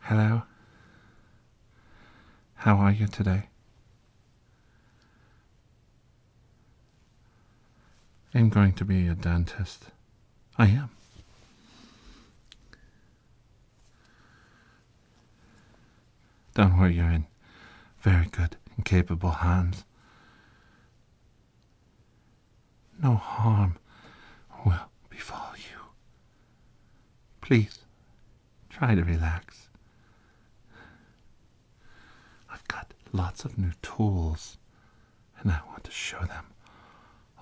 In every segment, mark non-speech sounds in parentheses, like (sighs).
Hello. How are you today? I'm going to be a dentist. I am. Don't worry, you're in very good and capable hands no harm will befall you. Please try to relax. I've got lots of new tools, and I want to show them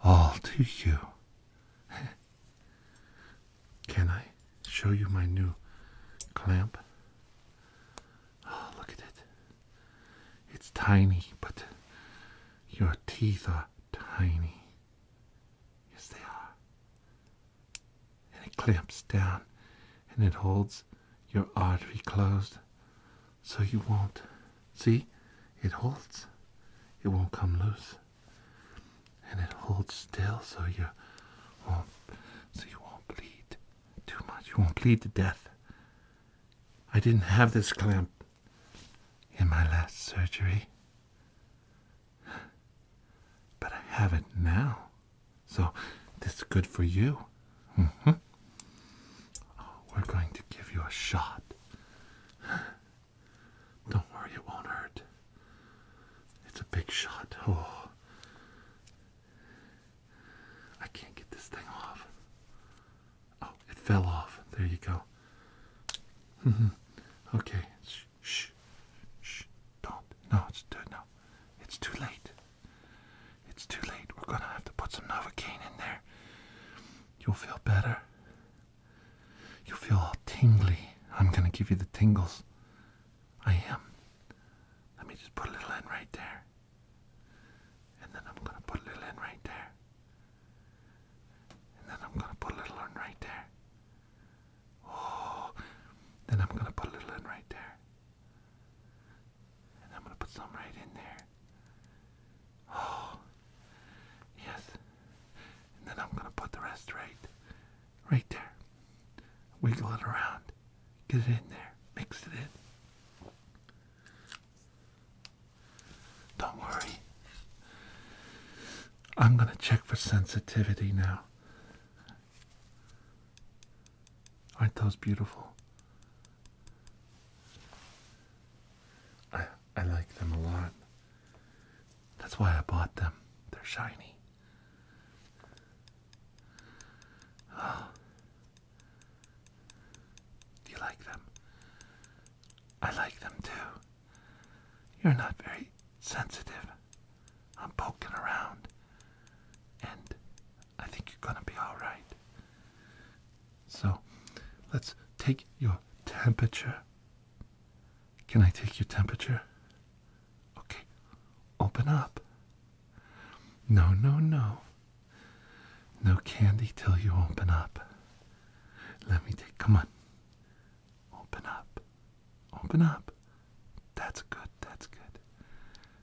all to you. (laughs) Can I show you my new clamp? Oh, look at it. It's tiny, but your teeth are tiny. Yes, they are. And it clamps down and it holds your artery closed so you won't. See? It holds. It won't come loose. And it holds still so you won't so you won't bleed too much. You won't bleed to death. I didn't have this clamp in my last surgery. But I have it now. So this is good for you. Mm-hmm. we're going to give you a shot. Don't worry, it won't hurt. It's a big shot. Oh. I can't get this thing off. Oh, it fell off. There you go. Mm-hmm. okay. Shh, shh, shh. Don't. No, it's too. No, it's too late. It's too late. We're gonna have to put some novocaine in there. You'll feel better. You'll feel all tingly. I'm gonna give you the tingles. I am. Let me just put a little in right there. And then I'm gonna put a little in right there. And then I'm gonna put a little one right there. Oh, then I'm gonna put a little one right there. And I'm gonna put some right in there. Oh, yes. And then I'm gonna put the rest right, right there. Wiggle it around, get it in there, mix it in. Don't worry. I'm going to check for sensitivity now. Aren't those beautiful? I, I like them a lot. That's why I bought them. They're shiny. (gasps) Do you like them? I like them too. You're not very sensitive. I'm poking around. And I think you're going to be all right. So let's take your temperature. Can I take your temperature? Okay. Open up. No, no, no. No candy till you open up. Let me take, come on. Open up. Open up. That's good, that's good.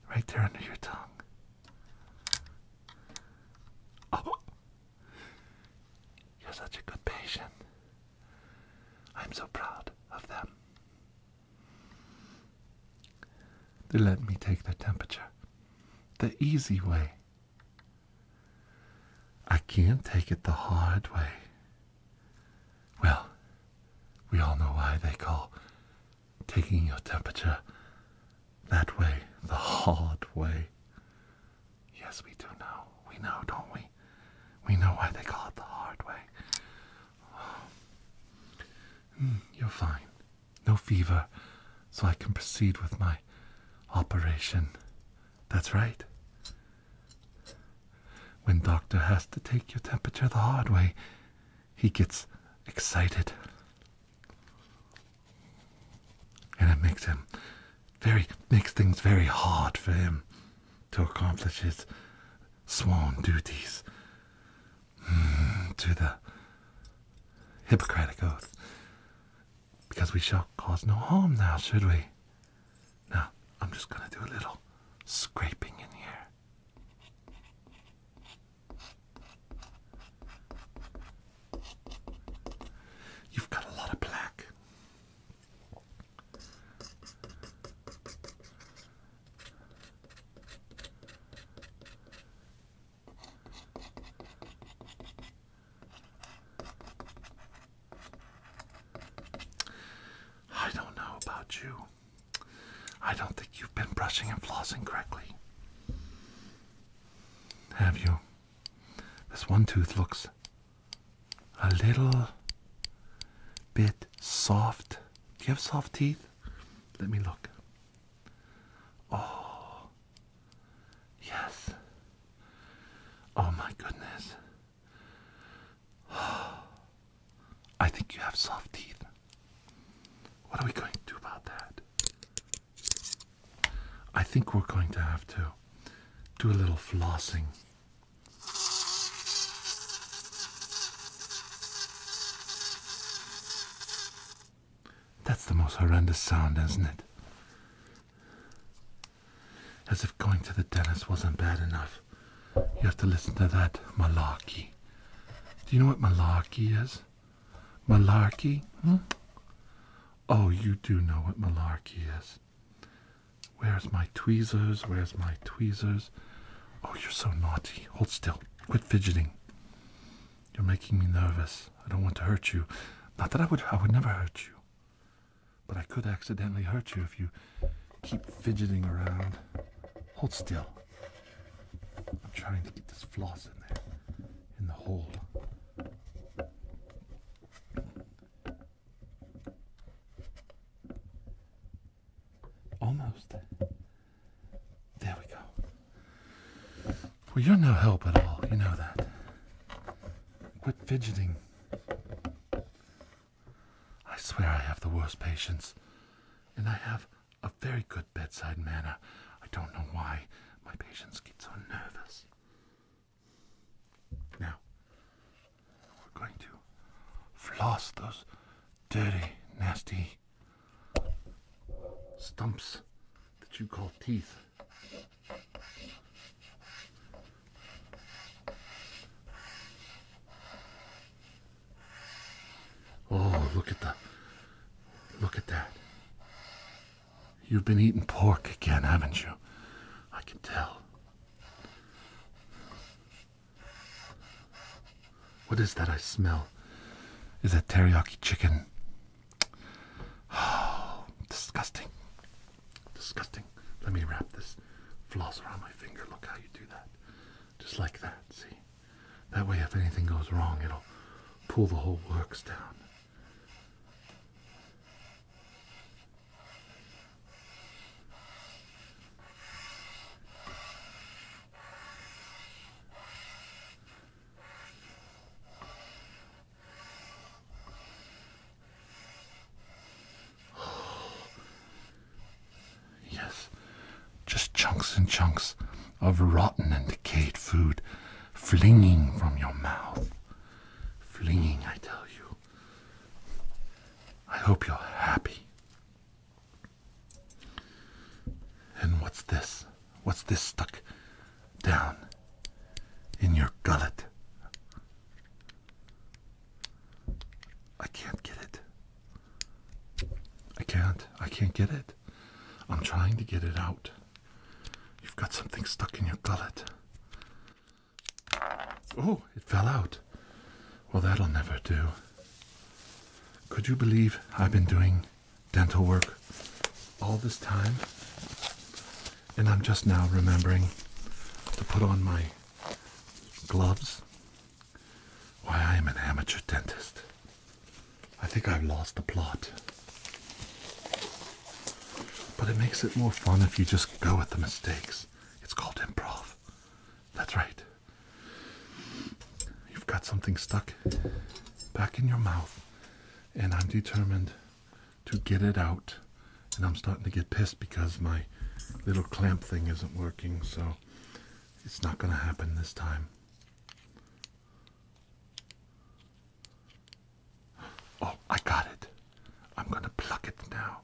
Right there under your tongue. Oh, you're such a good patient. I'm so proud of them. They let me take their temperature the easy way. I can't take it the hard way. Well, we all know why they call taking your temperature that way the hard way. Yes, we do know. We know, don't we? We know why they call it the hard way. (sighs) Hmm, you're fine. No fever, so I can proceed with my operation. That's right. When doctor has to take your temperature the hard way, he gets excited. And it makes him very makes things very hard for him to accomplish his sworn duties hmm, to the Hippocratic Oath. Because we shall cause no harm now, should we? Now, I'm just going to do a little scraping in here. You've got a lot of black. I don't know about you. I don't think you've been brushing and flossing correctly. Have you? This one tooth looks a little bit soft. Do you have soft teeth? Let me look. Oh, Yes. Oh my goodness. (sighs) I think you have soft teeth. What are we going to do about that? I think we're going to have to do a little flossing. That's the most horrendous sound, isn't it? As if going to the dentist wasn't bad enough. You have to listen to that malarkey. Do you know what malarkey is? Malarkey? Hmm? Oh, you do know what malarkey is. Where's my tweezers? Where's my tweezers? Oh, you're so naughty. Hold still. Quit fidgeting. You're making me nervous. I don't want to hurt you. Not that I would I would never hurt you. But I could accidentally hurt you if you keep fidgeting around. Hold still. I'm trying to get this floss in there, in the hole. Almost. There we go. Well, you're no help at all. You know that. Quit fidgeting. I swear I have the worst patience. And I have a very good bedside manner. I don't know why my patients get so nervous. Now, we're going to floss those dirty, nasty stumps that you call teeth. Oh, look at the look at that. You've been eating pork again, haven't you? I can tell. What is that I smell? Is that teriyaki chicken? Oh, (sighs) disgusting. Disgusting. Let me wrap this floss around my finger. Look how you do that. Just like that, see? That way, if anything goes wrong, it'll pull the whole works down. (sighs) Yes, just chunks and chunks of rotten and decayed food flinging from your mouth. Flinging, I tell you. I hope you're happy. And what's this? What's this stuck down in your gullet. I can't get it. I can't. I can't get it. I'm trying to get it out. You've got something stuck in your gullet. Oh, it fell out. Well, that'll never do. Could you believe I've been doing dental work all this time? and I'm just now remembering to put on my gloves. Why, I am an amateur dentist. I think I've lost the plot. But it makes it more fun if you just go with the mistakes. It's called improv. That's right. You've got something stuck back in your mouth, and I'm determined to get it out. And I'm starting to get pissed because my little clamp thing isn't working, so it's not going to happen this time. Oh, I got it. I'm going to pluck it now.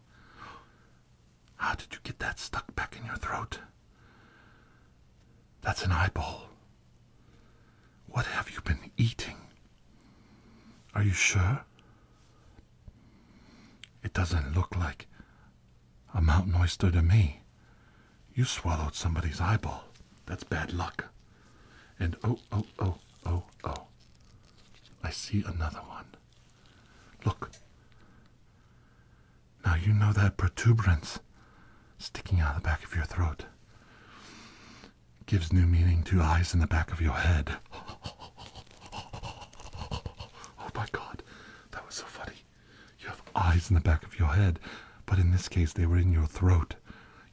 How did you get that stuck back in your throat? That's an eyeball. What have you been eating? Are you sure? It doesn't look like a mountain oyster to me. You swallowed somebody's eyeball. That's bad luck. And oh, oh, oh, oh, oh. I see another one. Look. Now you know that protuberance sticking out of the back of your throat gives new meaning to eyes in the back of your head. Oh my god, that was so funny. You have eyes in the back of your head, but in this case, they were in your throat.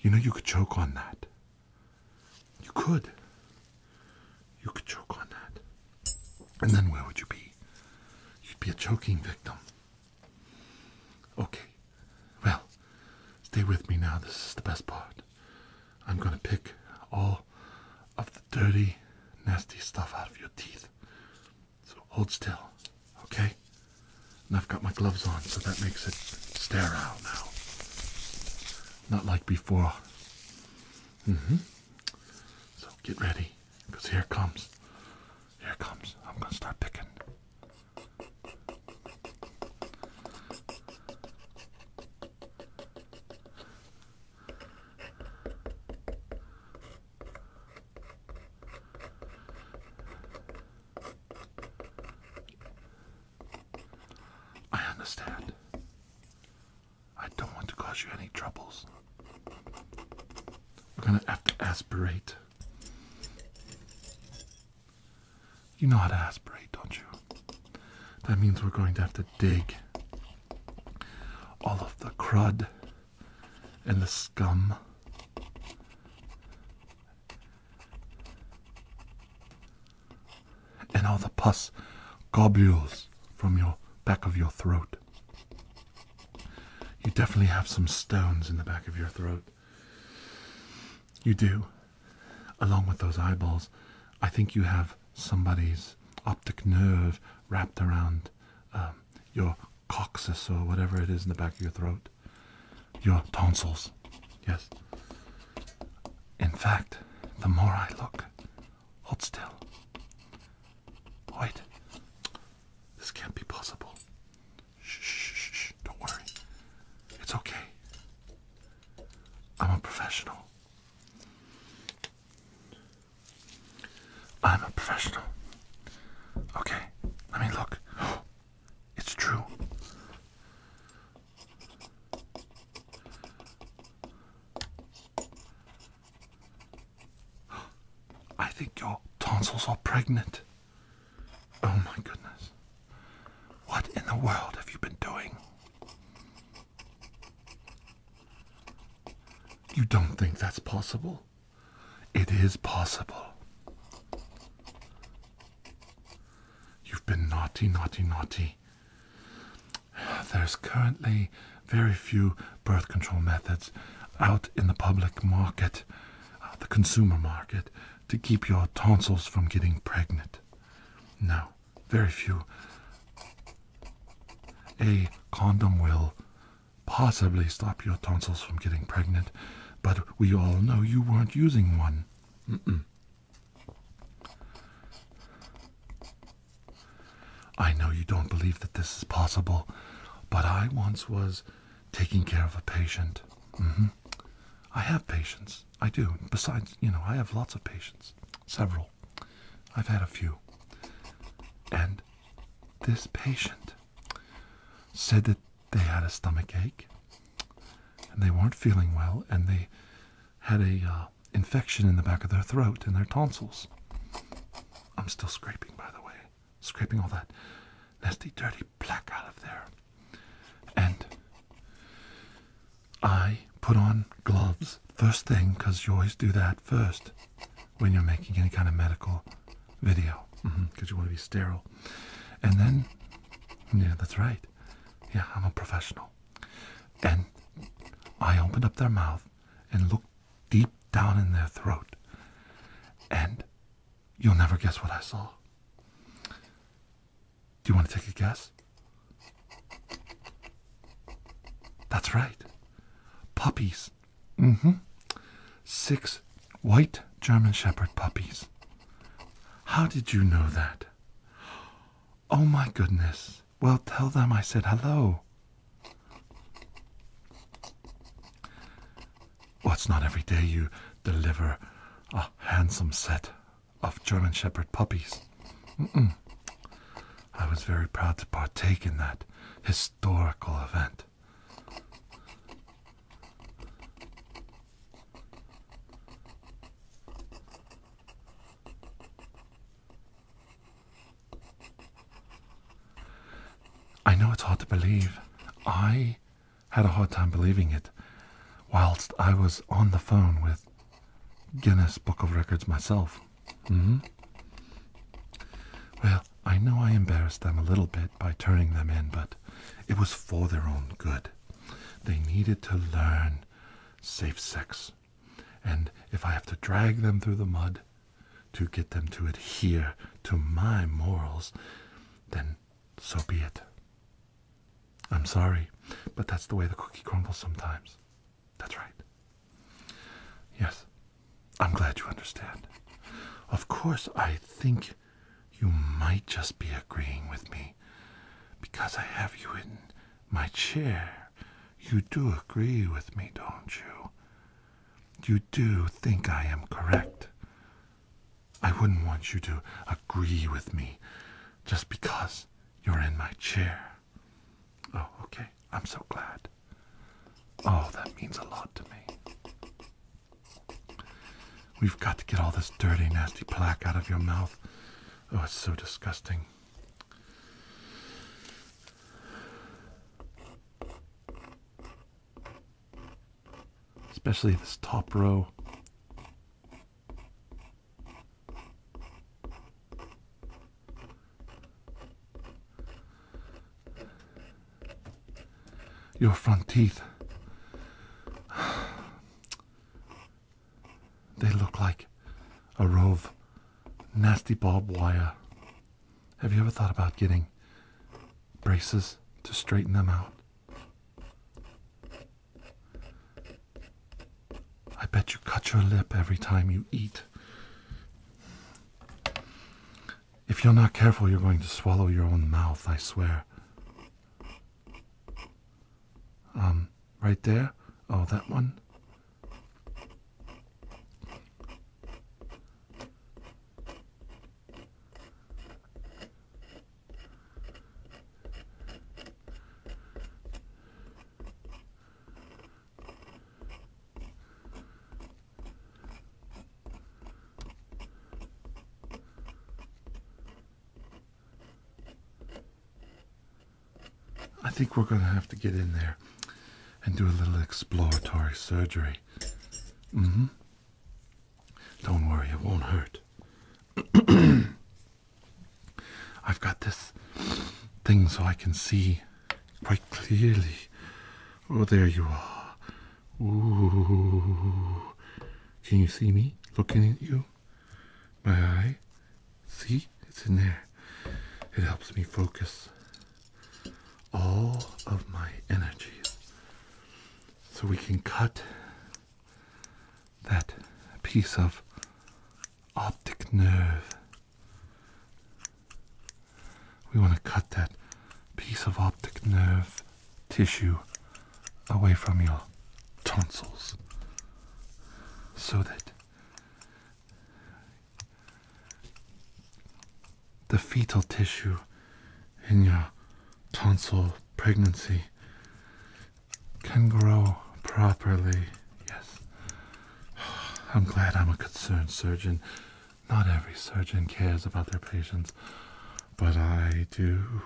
You know, you could choke on that. You could. You could choke on that. And then where would you be? You'd be a choking victim. Okay. Well, stay with me now. This is the best part. I'm going to pick all of the dirty, nasty stuff out of your teeth. So hold still, okay? And I've got my gloves on, so that makes it sterile now. Not like before. Mm hmm. So get ready, because here comes. Here comes. I'm going to start picking. I understand. I don't want to cause you any troubles. We're gonna have to aspirate. You know how to aspirate, don't you? That means we're going to have to dig all of the crud and the scum and all the pus globules from your back of your throat. You definitely have some stones in the back of your throat. You do. Along with those eyeballs, I think you have somebody's optic nerve wrapped around um, your coccyx or whatever it is in the back of your throat, your tonsils. Yes. In fact, the more I look, hold still. Wait. This can't be possible. shh, shh, shh. Don't worry. It's okay. I'm a professional. I'm a professional. Okay, let me look. (gasps) It's true. (gasps) I think your tonsils are pregnant. Oh my goodness. What in the world have you been doing? You don't think that's possible? It is possible. You've been naughty, naughty, naughty. There's currently very few birth control methods out in the public market, uh, the consumer market, to keep your tonsils from getting pregnant. Now, very few. A condom will possibly stop your tonsils from getting pregnant, but we all know you weren't using one. I know you don't believe that this is possible, but I once was taking care of a patient. Mm-hmm. I have patients. I do. Besides, you know, I have lots of patients. Several. I've had a few. And this patient said that they had a stomach ache and they weren't feeling well and they had a uh, infection in the back of their throat and their tonsils. I'm still scraping, by the way. Scraping all that nasty, dirty black out of there. And I put on gloves first thing because you always do that first when you're making any kind of medical video because mm-hmm, you want to be sterile. And then, yeah, that's right. Yeah, I'm a professional. And I opened up their mouth and looked deep down in their throat. And you'll never guess what I saw. Do you want to take a guess? That's right. Puppies. Mm hmm. Six white German Shepherd puppies. How did you know that? Oh my goodness. Well, tell them I said hello. What's not every day you deliver a handsome set of German Shepherd puppies. I was very proud to partake in that historical event. I know it's hard to believe. I had a hard time believing it whilst I was on the phone with Guinness Book of Records myself. Mm-hmm. Well, I know I embarrassed them a little bit by turning them in, but it was for their own good. They needed to learn safe sex. And if I have to drag them through the mud to get them to adhere to my morals, then so be it. I'm sorry, but that's the way the cookie crumbles sometimes. That's right. Yes, I'm glad you understand. Of course, I think you might just be agreeing with me because I have you in my chair. You do agree with me, don't you? You do think I am correct. I wouldn't want you to agree with me just because you're in my chair. Oh, okay. I'm so glad. Oh, that means a lot to me. We've got to get all this dirty, nasty plaque out of your mouth. Oh, it's so disgusting. Especially this top row. Your front teeth. They look like a row of nasty barbed wire. Have you ever thought about getting braces to straighten them out? I bet you cut your lip every time you eat. If you're not careful, you're going to swallow your own mouth, I swear. Um, right there? Oh, that one? I think we're going to have to get in there and do a little exploratory surgery. Mm hmm. Don't worry, it won't hurt. (clears throat) I've got this thing so I can see quite clearly. Oh, there you are. Ooh. Can you see me looking at you? My eye? See? It's in there. It helps me focus all of my energies. So we can cut that piece of optic nerve. We want to cut that piece of optic nerve tissue away from your tonsils so that the fetal tissue in your tonsil pregnancy can grow properly. Yes. (sighs) I'm glad I'm a concerned surgeon. Not every surgeon cares about their patients, but I do.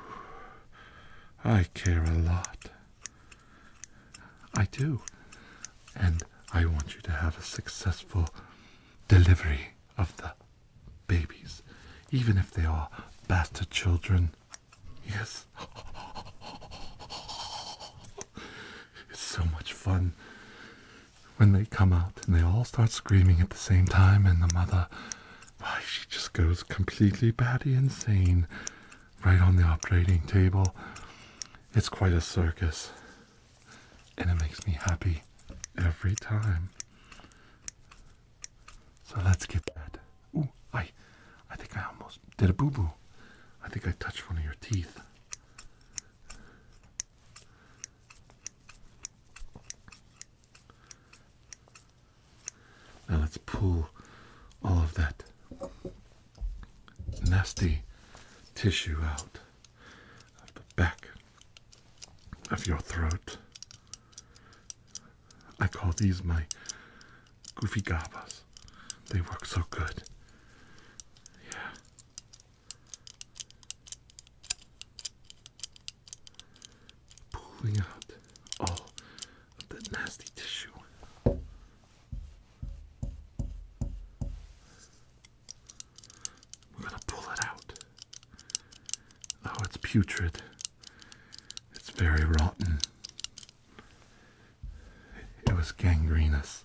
I care a lot. I do. And I want you to have a successful delivery of the babies, even if they are bastard children. Yes. It's so much fun when they come out and they all start screaming at the same time, and the mother, why, she just goes completely batty insane right on the operating table. It's quite a circus, and it makes me happy every time. So let's get that. Ooh, I, I think I almost did a boo boo. I think I touched one of your teeth. Now let's pull all of that nasty tissue out of the back of your throat. I call these my Goofy Gabas. They work so good. Yeah. Pulling out all that nasty tissue. We're gonna pull it out. Oh, it's putrid. It's very rotten. It was gangrenous.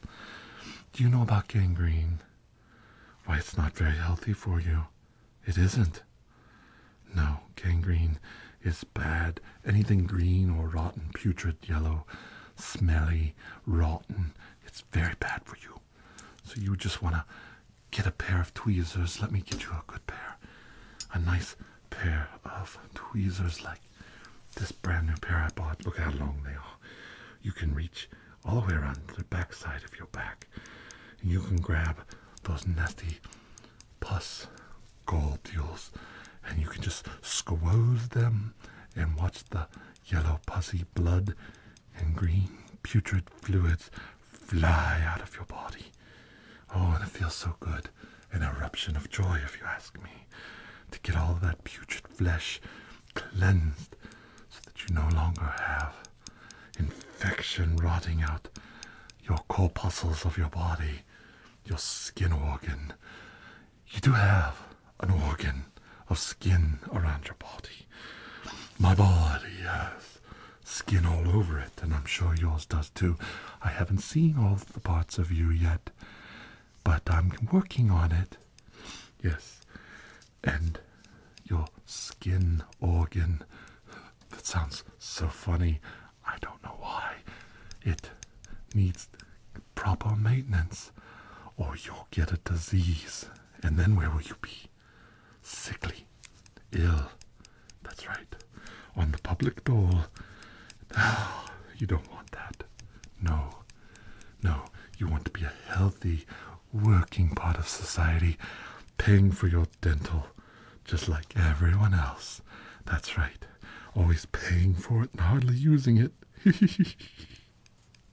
Do you know about gangrene? Why, it's not very healthy for you. It isn't. No, gangrene is bad. Anything green or rotten, putrid, yellow, smelly, rotten, it's very bad for you. So you just want to get a pair of tweezers. Let me get you a good pair. A nice pair of tweezers like this brand new pair I bought, look how long they are. You can reach all the way around the back side of your back. And you can grab those nasty pus globules and you can just squeeze them and watch the yellow pussy blood and green putrid fluids fly out of your body. Oh, and it feels so good an eruption of joy, if you ask me, to get all that putrid flesh cleansed so that you no longer have infection rotting out your corpuscles of your body, your skin organ. You do have an organ of skin around your body. My body has skin all over it, and I'm sure yours does too. I haven't seen all the parts of you yet but I'm working on it. Yes, and your skin organ. That sounds so funny. I don't know why. It needs proper maintenance, or you'll get a disease. And then where will you be? Sickly, ill. That's right. On the public dole. (sighs) you don't want that. No, no, you want to be a healthy, working part of society, paying for your dental just like everyone else. That's right, always paying for it and hardly using it. (laughs)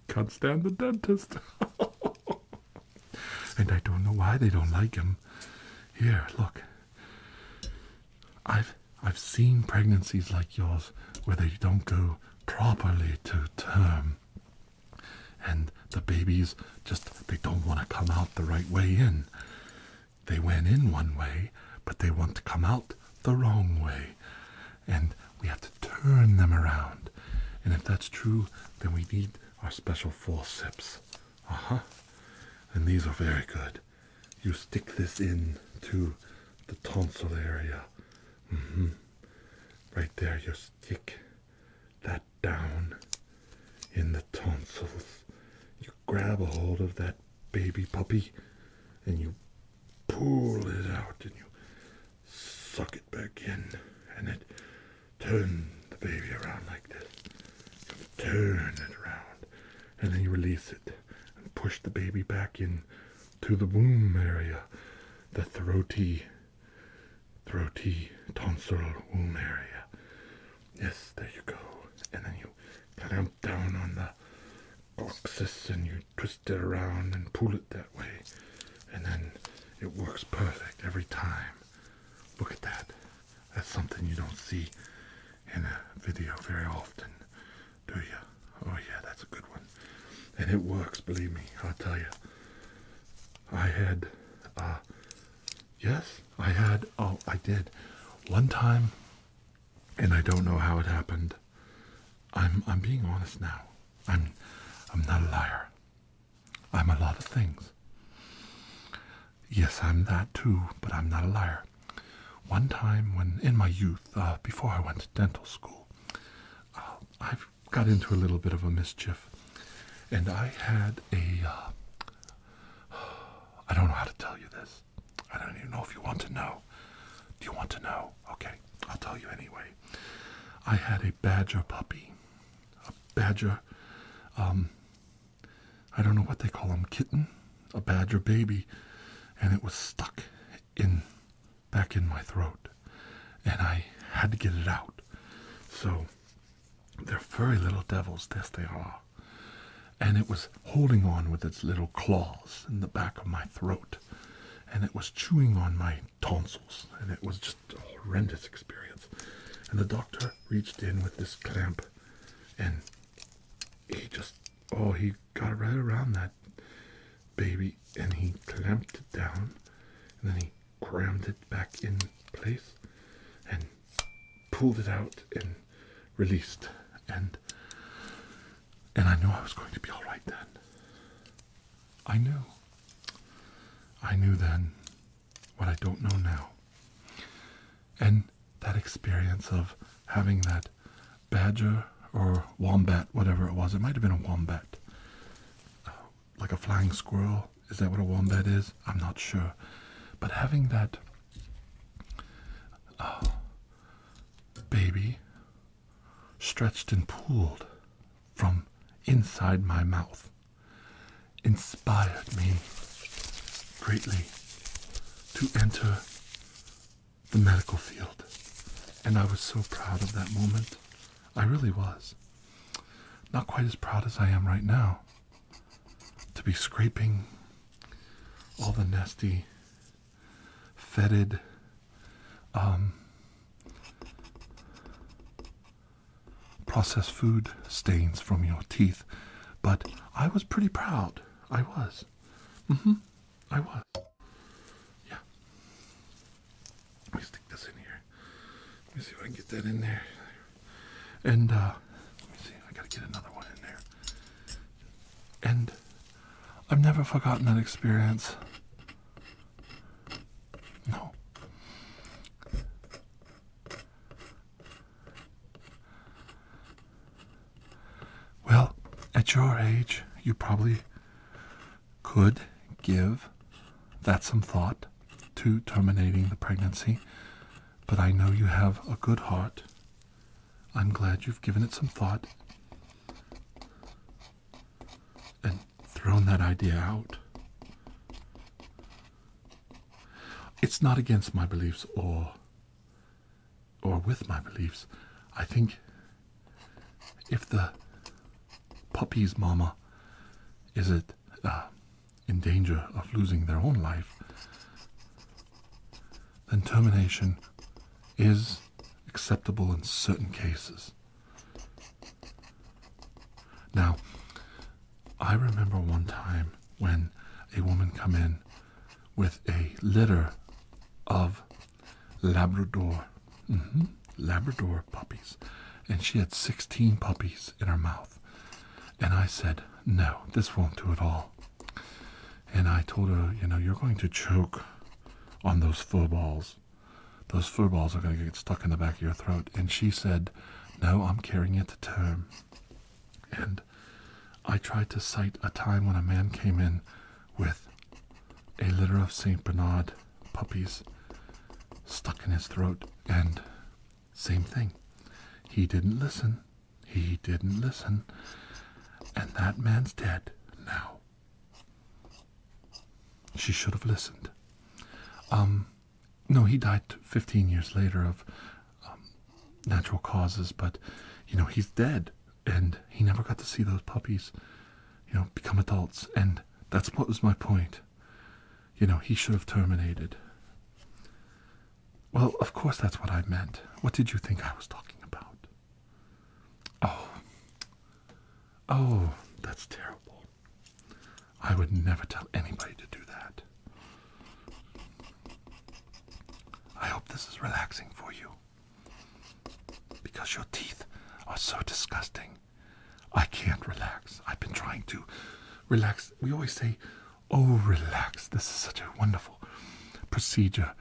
Can't stand the dentist. (laughs) and I don't know why they don't like him. Here, look. I've I've seen pregnancies like yours where they don't go properly to term and the babies just they don't want to come out the right way in. They went in one way, but they want to come out the wrong way. And we have to turn them around. And if that's true, then we need our special forceps. Uh huh. And these are very good you stick this in to the tonsil area. Mm-hmm. Right there, you stick that down in the tonsils. You grab a hold of that baby puppy and you pull it out and you suck it back in and then turn the baby around like this. turn it around and then you release it and push the baby back in to the womb area, the throaty, throaty tonsillar womb area. Yes, there you go. And then you clamp down on the coccyx and you twist it around and pull it that way. And then it works perfect every time. Look at that. That's something you don't see in a video very often do you? Oh, yeah, that's a good one. And it works, believe me, I'll tell you. I had, uh, yes, I had, oh, I did. One time, and I don't know how it happened. I'm, I'm being honest now. I'm, I'm not a liar. I'm a lot of things. Yes, I'm that too, but I'm not a liar. One time, when in my youth, uh, before I went to dental school, uh, I got into a little bit of a mischief, and I had a. Uh, don't know how to tell you this. I don't even know if you want to know. Do you want to know? Okay, I'll tell you anyway. I had a badger puppy. A badger. Um, I don't know what they call them. Kitten? a badger baby, and it was stuck in back in my throat, and I had to get it out. So they're furry little devils, yes they are. And it was holding on with its little claws in the back of my throat, and it was chewing on my tonsils, and it was just a horrendous experience. And the doctor reached in with this clamp, and he just Oh, he got right around that baby and he clamped it down and then he crammed it back in place and pulled it out and released and and I knew I was going to be all right then. I knew. I knew then what I don't know now. And that experience of having that badger or wombat, whatever it was. It might have been a wombat, uh, like a flying squirrel. Is that what a wombat is? I'm not sure. But having that uh, baby stretched and pulled from inside my mouth inspired me greatly to enter the medical field. And I was so proud of that moment. I really was. Not quite as proud as I am right now to be scraping all the nasty, fetid, um, processed food stains from your teeth. But I was pretty proud. I was. Mm -hmm. I was. Yeah. Let me stick this in here. Let me see if I can get that in there. And uh, let me see. I gotta get another one in there. And I've never forgotten that experience. No. Well, at your age, you probably could give that some thought to terminating the pregnancy, but I know you have a good heart. I'm glad you've given it some thought and thrown that idea out. It's not against my beliefs or or with my beliefs. I think if the puppy's mama is it uh, in danger of losing their own life, then termination is acceptable in certain cases. Now, I remember one time when a woman come in with a litter of Labrador. hmm Labrador puppies. And she had 16 puppies in her mouth. And I said, No, this won't do at all. And I told her, You know, you're going to choke on those fur balls. Those fur balls are going to get stuck in the back of your throat. And she said, No, I'm carrying it to term. And I tried to cite a time when a man came in with a litter of St. Bernard puppies stuck in his throat. And same thing. He didn't listen. He didn't listen. And that man's dead now. She should have listened. Um, no, he died 15 years later of um, natural causes, but you know, he's dead and he never got to see those puppies, you know, become adults. And that's what was my point. You know, he should have terminated. Well, of course, that's what I meant. What did you think I was talking about? Oh. Oh, that's terrible. I would never tell anybody to do that. I hope this is relaxing for you. Because your teeth are so disgusting. I can't relax. I've been trying to relax. We always say, oh, relax. This is such a wonderful procedure.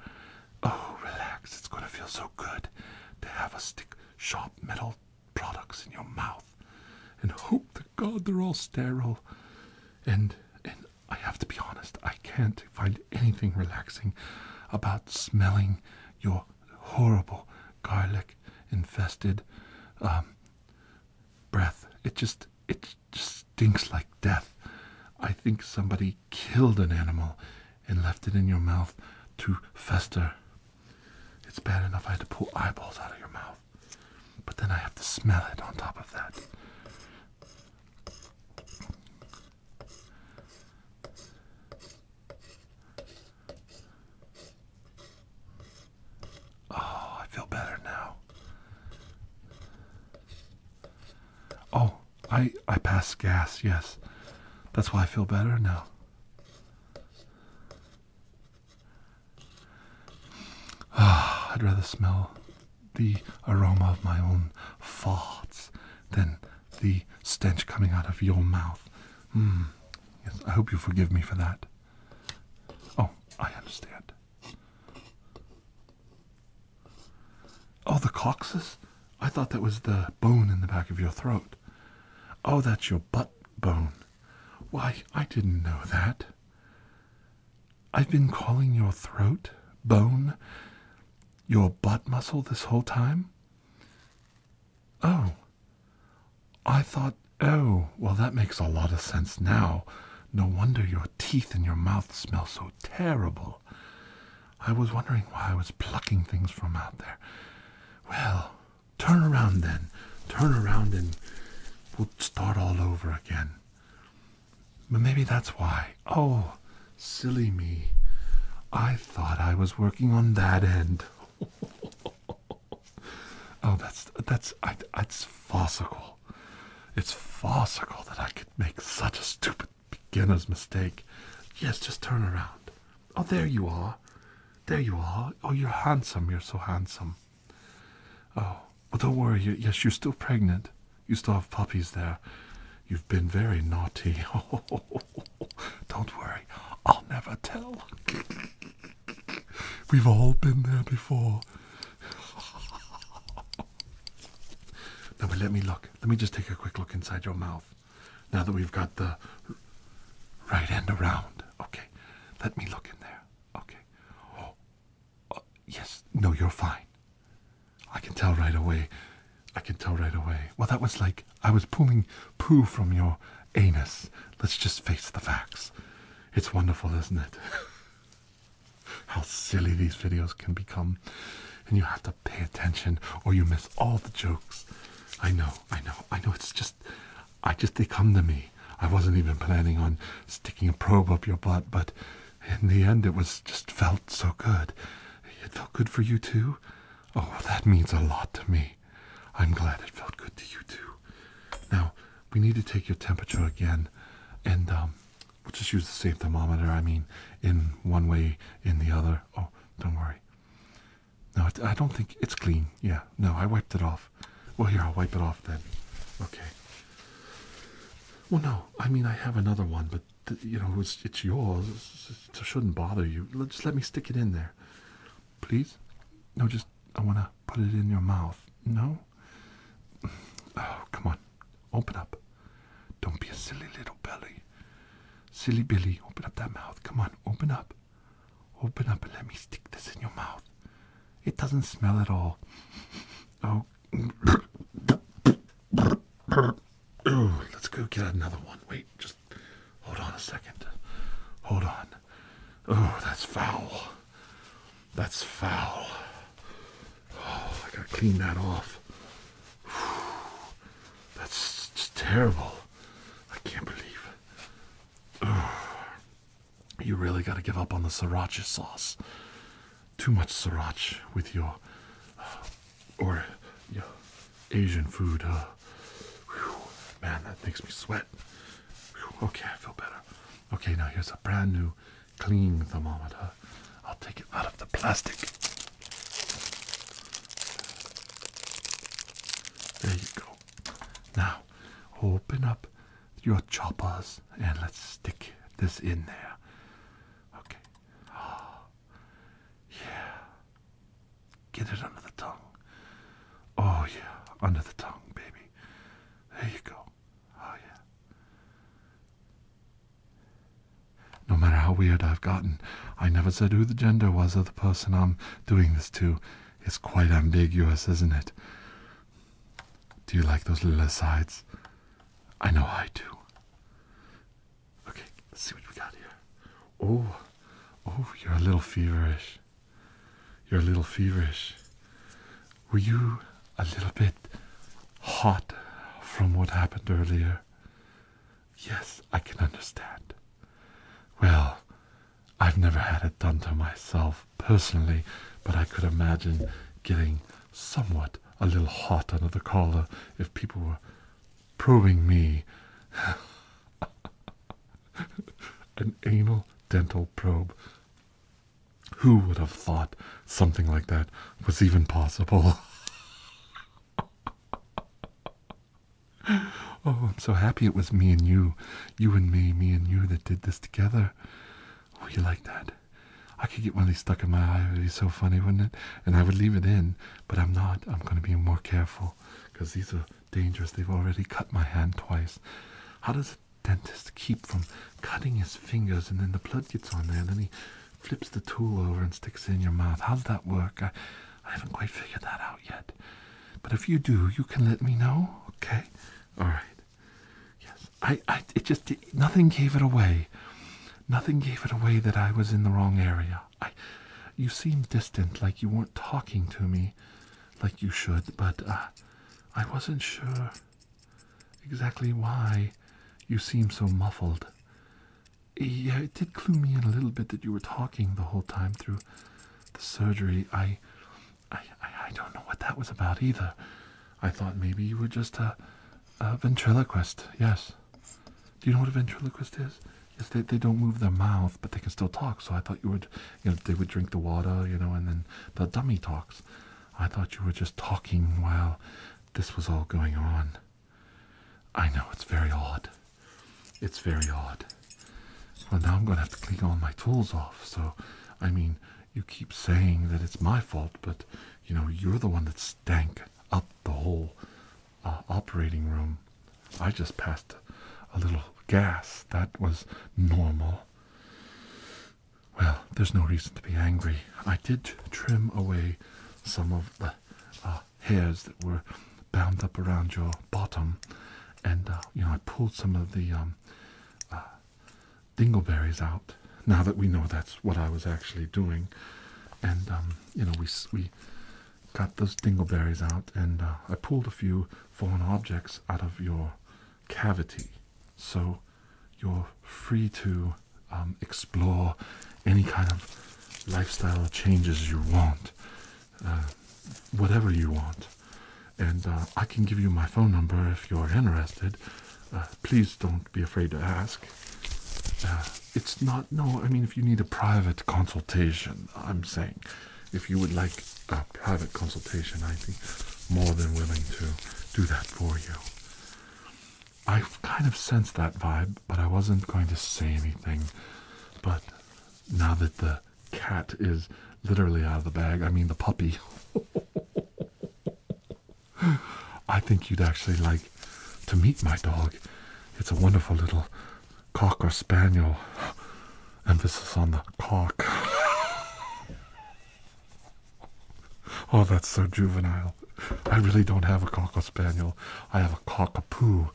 Oh, relax. It's going to feel so good to have a stick sharp metal products in your mouth and hope to God they're all sterile. And and I have to be honest, I can't find anything relaxing about smelling your horrible garlic infested um, breath. It just it just stinks like death. I think somebody killed an animal and left it in your mouth to fester. It's bad enough I had to pull eyeballs out of your mouth, but then I have to smell it on top of that. Oh, I feel better now. Oh, I I passed gas, yes. That's why I feel better now. Ah, I'd rather smell the aroma of my own farts than the stench coming out of your mouth. Mm. Yes, I hope you forgive me for that. Oh, I understand. Oh, the coccyx? I thought that was the bone in the back of your throat. Oh, that's your butt bone. Why, I didn't know that. I've been calling your throat bone your butt muscle this whole time? Oh. I thought, oh, well, that makes a lot of sense now. No wonder your teeth and your mouth smell so terrible. I was wondering why I was plucking things from out there. Well, turn around then. Turn around and we'll start all over again. But maybe that's why oh, silly me. I thought I was working on that end. (laughs) oh, that's that's I, that's farcical. It's farcical that I could make such a stupid beginner's mistake. Yes, just turn around. Oh, there you are. There you are. Oh, you're handsome. You're so handsome. Oh, well, don't worry. Yes, you're still pregnant. You still have puppies there. You've been very naughty. Oh, (laughs) don't worry, I'll never tell. (laughs) We've all been there before. (laughs) Now, let me look. Let me just take a quick look inside your mouth. Now that we've got the right end around. Okay, let me look in there. Okay. Oh, oh yes. No, you're fine. I can tell right away. I can tell right away. Well, that was like I was pulling poo from your anus. Let's just face the facts. It's wonderful, isn't it? (laughs) How silly these videos can become. And you have to pay attention or you miss all the jokes. I know, I know, I know. It's just, I just, they come to me. I wasn't even planning on sticking a probe up your butt, but in the end, it was just felt so good. It felt good for you too? Oh, that means a lot to me. I'm glad it felt good to you too. Now, we need to take your temperature again, and um, we'll just use the same thermometer. I mean, in one way, in the other. Oh, don't worry. No, I don't think it's clean. Yeah, no, I wiped it off. Well, here, I'll wipe it off then. Okay. Well, no, I mean, I have another one, but you know, it's, it's yours. It shouldn't bother you. Just let me stick it in there. Please? No, just, I want to put it in your mouth. No? (sighs) Oh, come on. Open up. Don't be a silly little belly. Silly Billy, open up that mouth. Come on, open up. Open up and let me stick this in your mouth. It doesn't smell at all. Oh. Ooh, (clears throat) let's go get another one. Wait, just hold on a second. Hold on. Oh, that's foul. That's foul. Oh, I gotta clean that off. (sighs) That's terrible. I can't believe (sighs) you really gotta give up on the sriracha sauce. Too much sriracha with your uh, or yeah, Asian food. man, that makes me sweat. okay, I feel better. Okay, now here's a brand new clean thermometer. I'll take it out of the plastic. There you go. Now, open up your choppers and let's stick this in there. Okay. (gasps) yeah. Get it under the tongue. Oh, yeah, under the tongue, baby. There you go. Oh, yeah. No matter how weird I've gotten, I never said who the gender was of the person I'm doing this to. It's quite ambiguous, isn't it? Do you like those little asides? I know I do. Okay, let's see what we got here. Oh, oh, you're a little feverish. You're a little feverish. Were you a little bit hot from what happened earlier? Yes, I can understand. Well, I've never had it done to myself personally, but I could imagine getting somewhat a little hot under the collar if people were probing me. (laughs) An anal dental probe. Who would have thought something like that was even possible? (laughs) oh, I'm so happy it was me and you. You and me, me and you that did this together. Oh, you like that? I could get one of these stuck in my eye. It would be so funny, wouldn't it? And I would leave it in but I'm not. I'm going to be more careful because these are dangerous. They've already cut my hand twice. How does a dentist keep from cutting his fingers and then the blood gets on there and then he flips the tool over and sticks it in your mouth? How does that work? I, I haven't quite figured that out yet. But if you do, you can let me know, okay? All right. Yes. I, I it just it, nothing gave it away. Nothing gave it away that I was in the wrong area. I you seemed distant, like you weren't talking to me like you should, but uh, I wasn't sure exactly why you seemed so muffled. Yeah, it did clue me in a little bit that you were talking the whole time through the surgery. I, I, I don't know what that was about either. I thought maybe you were just a ventriloquist. Yes. Do you know what a ventriloquist is? Yes, they, they don't move their mouth, but they can still talk. So I thought you would, you know, they would drink the water, you know, and then the dummy talks. I thought you were just talking while this was all going on. I know, it's very odd. It's very odd. Well, now I'm going to have to clean all my tools off. So, I mean, you keep saying that it's my fault, but, you know, you're the one that stank up the whole operating room. I just passed a little gas. That was normal. Well, there's no reason to be angry. I did trim away some of the uh, hairs that were bound up around your bottom, and uh, you know I pulled some of the um, uh, dingleberries out. Now that we know that's what I was actually doing, and um, you know we we got those dingleberries out and uh, I pulled a few fallen objects out of your cavity. So you're free to um, explore any kind of lifestyle changes you want, uh, whatever you want. And uh, I can give you my phone number if you're interested. please don't be afraid to ask it's not no i mean if you need a private consultation i'm saying if you would like a private consultation i'd be more than willing to do that for you i kind of sensed that vibe but i wasn't going to say anything but now that the cat is literally out of the bag i mean the puppy (laughs) i think you'd actually like to meet my dog it's a wonderful little Cock or Spaniel. Emphasis on the cock. oh, that's so juvenile. I really don't have a Cocker Spaniel. I have a Cockapoo,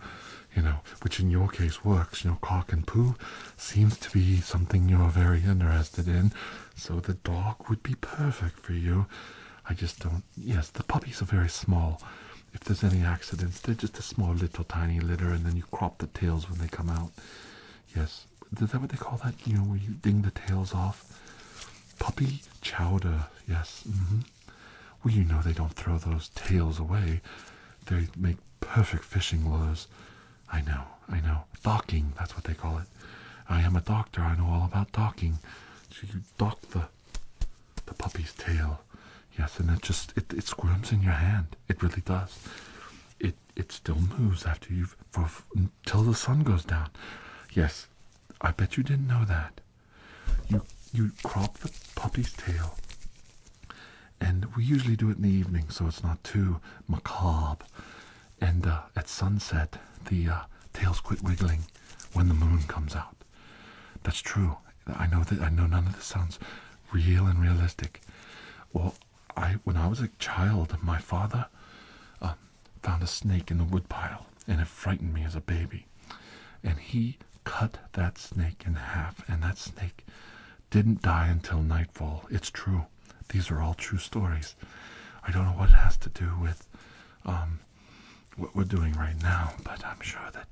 you know, which in your case works. You know, cock and poo seems to be something you're very interested in, so the dog would be perfect for you. I just don't yes, the puppies are very small. If there's any accidents, they're just a small, little, tiny litter, and then you crop the tails when they come out. Yes, is that what they call that? You know, where you ding the tails off? Puppy chowder, yes. Mm-hmm. Well, you know they don't throw those tails away. They make perfect fishing lures. I know, I know. Docking, that's what they call it. I am a doctor, I know all about docking. So you dock the the puppy's tail Yes, and it just it, it squirms in your hand. It really does. It it still moves after you've for, until the sun goes down. Yes, I bet you didn't know that. You you crop the puppy's tail, and we usually do it in the evening, so it's not too macabre. And uh, at sunset, the uh, tails quit wiggling when the moon comes out. That's true. I know that I know none of this sounds real and realistic. Well, I when I was a child, my father um, found a snake in the woodpile, and it frightened me as a baby. And he cut that snake in half, and that snake didn't die until nightfall. It's true. These are all true stories. I don't know what it has to do with um, what we're doing right now, but I'm sure that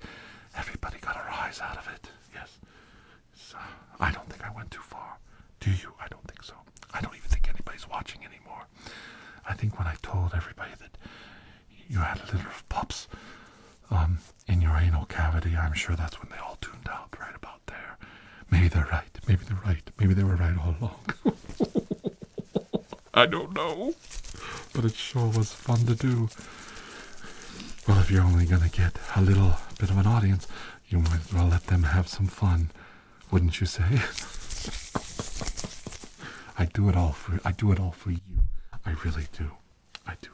everybody got a rise out of it. Yes. I don't think I went too far. Do you? I don't think so. I don't even think anybody's watching anymore. I think when I told everybody that you had a litter of pups um, in your anal cavity, I'm sure that's when they all tuned out right about there. Maybe they're right. Maybe they're right. Maybe they were right all along. (laughs) I don't know. But it sure was fun to do. Well, if you're only going to get a little bit of an audience, you might well let them have some fun, wouldn't you say? (laughs) I do it all for I do it all for you. I really do. I do.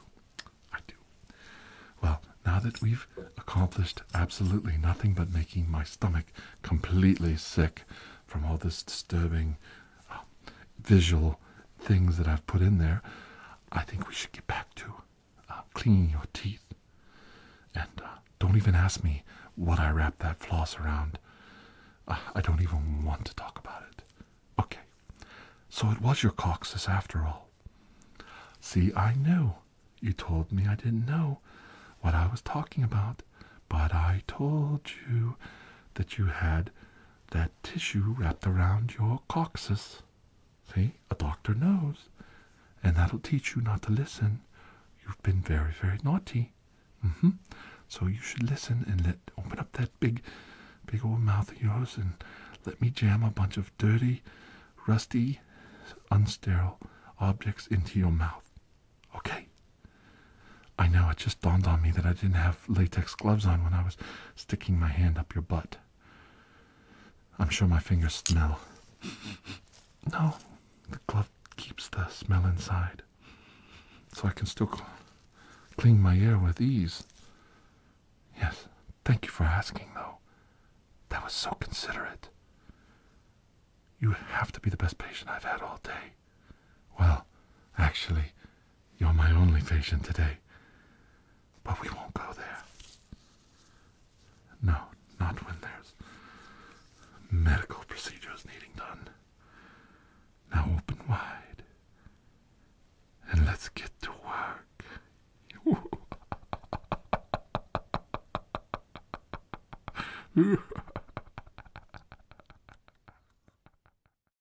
I do. Well, now that we've accomplished absolutely nothing but making my stomach completely sick from all this disturbing visual things that I've put in there, I think we should get back to uh, cleaning your teeth. And uh, don't even ask me what I wrapped that floss around. Uh, I don't even want to talk about it. Okay, so it was your coccyx after all. See, I knew. You told me I didn't know what I was talking about, but I told you that you had that tissue wrapped around your coccyx. See, a doctor knows, and that'll teach you not to listen. You've been very, very naughty. Mm-hmm. So you should listen and let open up that big, big old mouth of yours and let me jam a bunch of dirty, rusty, unsterile objects into your mouth. Okay? I know it just dawned on me that I didn't have latex gloves on when I was sticking my hand up your butt. I'm sure my fingers smell. No, the glove keeps the smell inside, so I can still clean my ear with ease. Yes, thank you for asking, though. That was so considerate. You have to be the best patient I've had all day. Well, actually, you're my only patient today. But we won't go there. No, not when there's medical procedures needing done. Now open wide. And let's get to work. (laughs) (laughs)